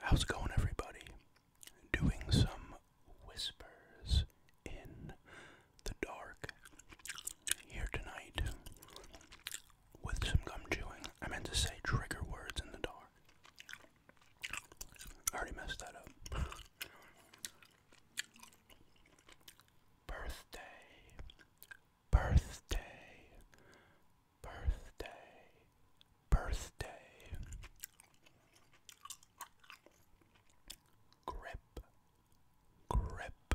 How's it going, everybody? Doing some whispers in the dark here tonight with some gum chewing. I meant to say trigger words in the dark. I already messed that up. Birthday birthday, birthday, birthday. Grip, grip, grip.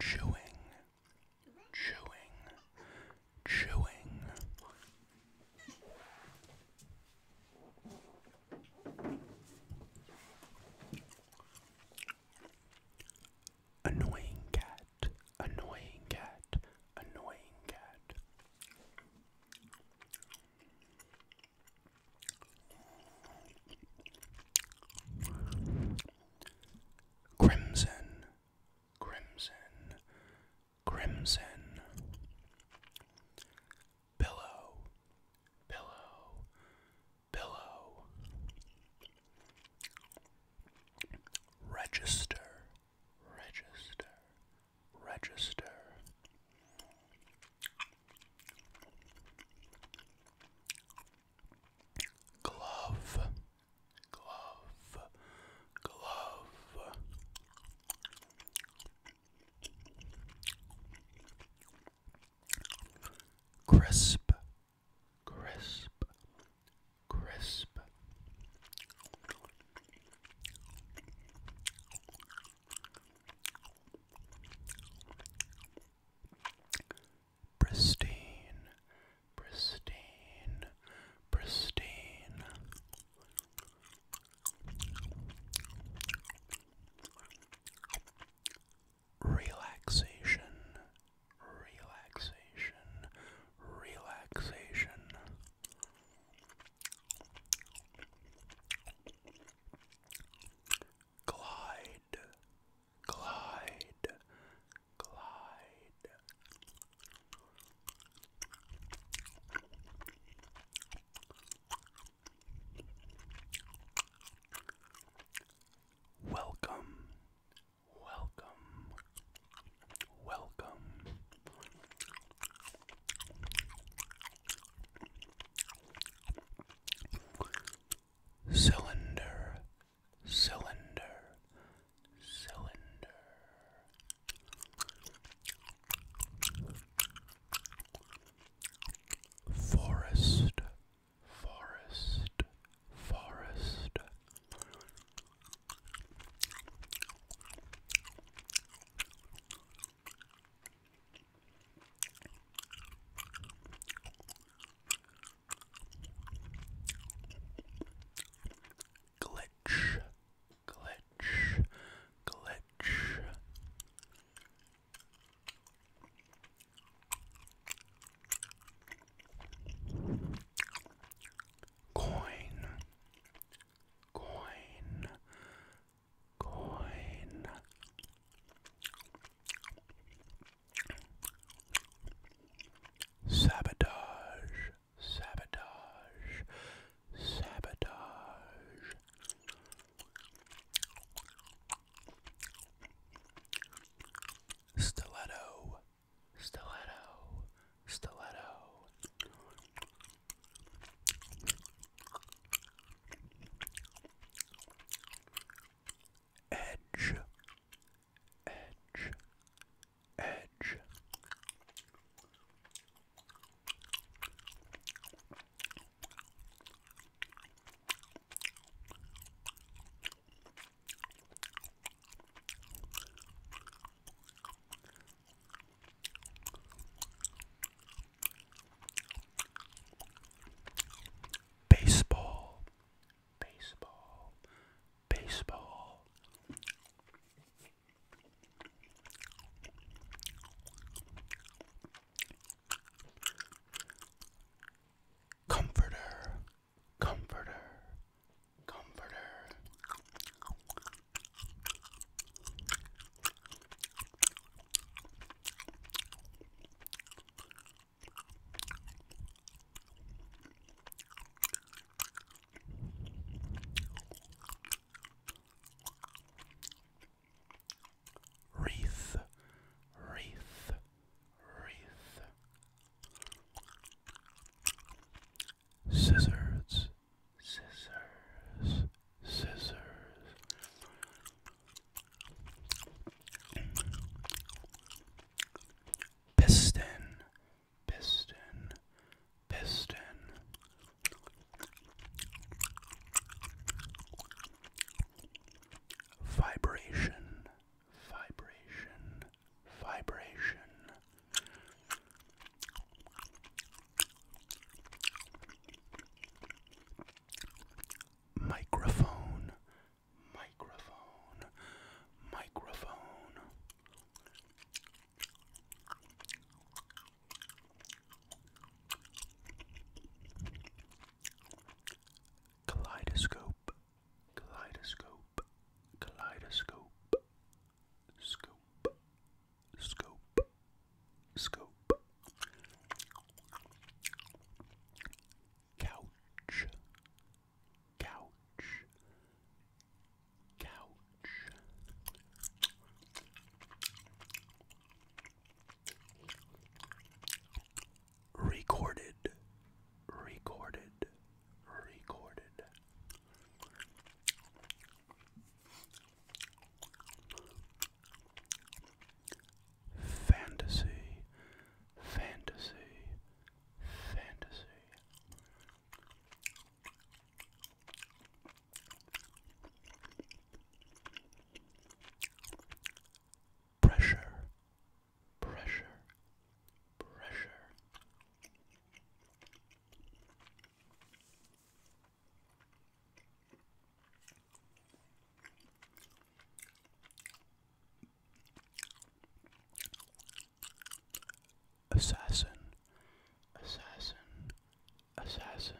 Chewing, chewing, chewing. Annoying cat, annoying cat, annoying cat. Crimson, Crimson, Crimson. Pillow, Pillow, Pillow. Register, Register, Register. Glove, glove, glove. Crisp, crisp, crisp pristine, pristine, pristine. Relaxation, relaxation, relaxation. Glide, glide, glide. Welcome, welcome, welcome. Cylinder, cylinder, cylinder. Forest, forest, forest. Glitch, glitch, glitch. Coin, coin, coin. Sabotage, sabotage, sabotage. Stiletto, stiletto, stiletto. Edge, edge, edge. Baseball, baseball, baseball. Comforter, comforter, comforter. Wreath, wreath, wreath. Scissors, scissors, scissors. Piston, piston, piston. Vibration, vibration, vibration. Microphone, microphone, microphone. Kaleidoscope, kaleidoscope, kaleidoscope, scope, scope, scope, couch, Couch. Couch. Recorded. Recorded. Recorded. Fantasy, fantasy, fantasy, Pressure, pressure, pressure assassin, assassin, assassin.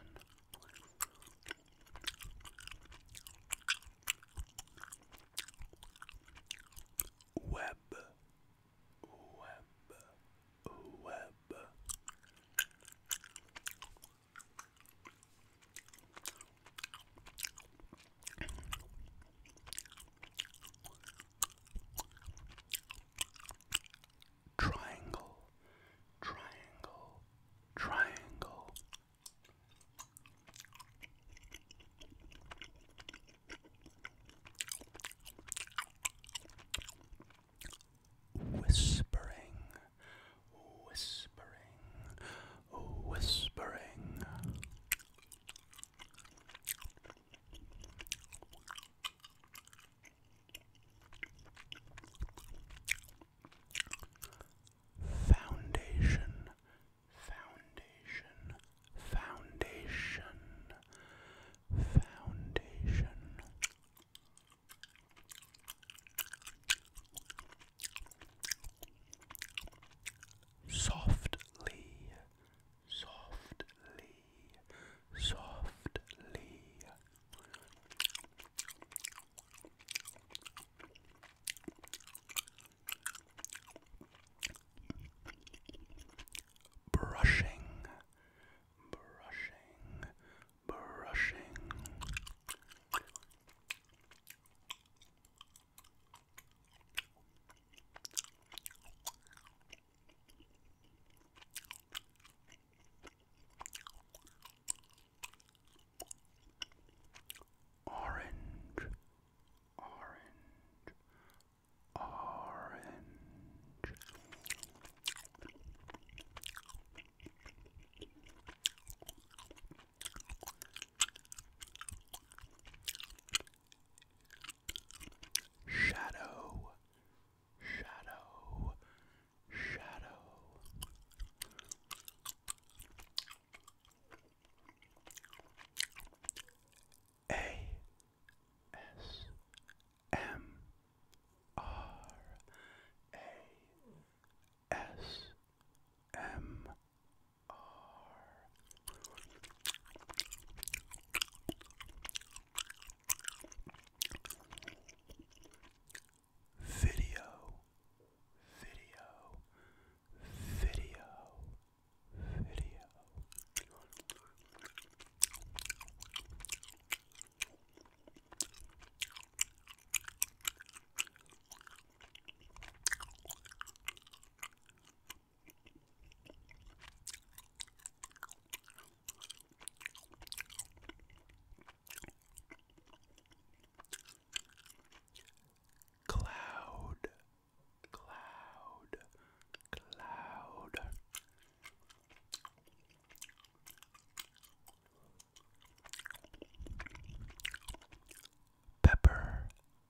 Web, web, web. Triangle, triangle, triangle. Whispering, whispering, whispering. Foundation, foundation, foundation, foundation. Softly, softly, softly. Brushing, brushing, brushing. Orange, orange, orange. Shadow, shadow, shadow. A S M R A S M R Video, video, video, video. Cloud, cloud, cloud. Pepper,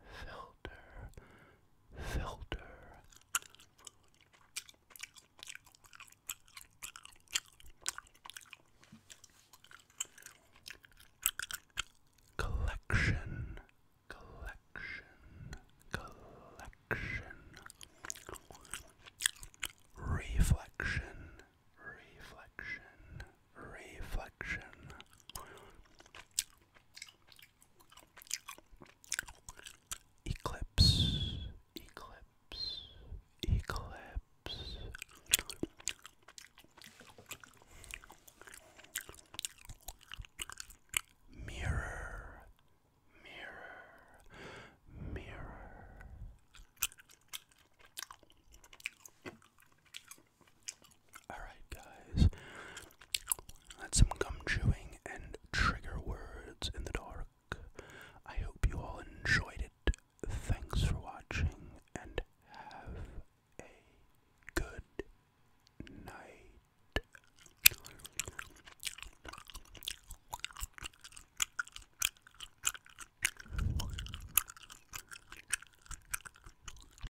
filter, filter. Collection, collection, collection. Reflection, reflection, reflection. Eclipse, eclipse, eclipse. Mirror, mirror, mirror. Alright, guys. That's some gum chewing and trigger words in the dark. I hope you all enjoyed it. Thanks for watching and have a good night.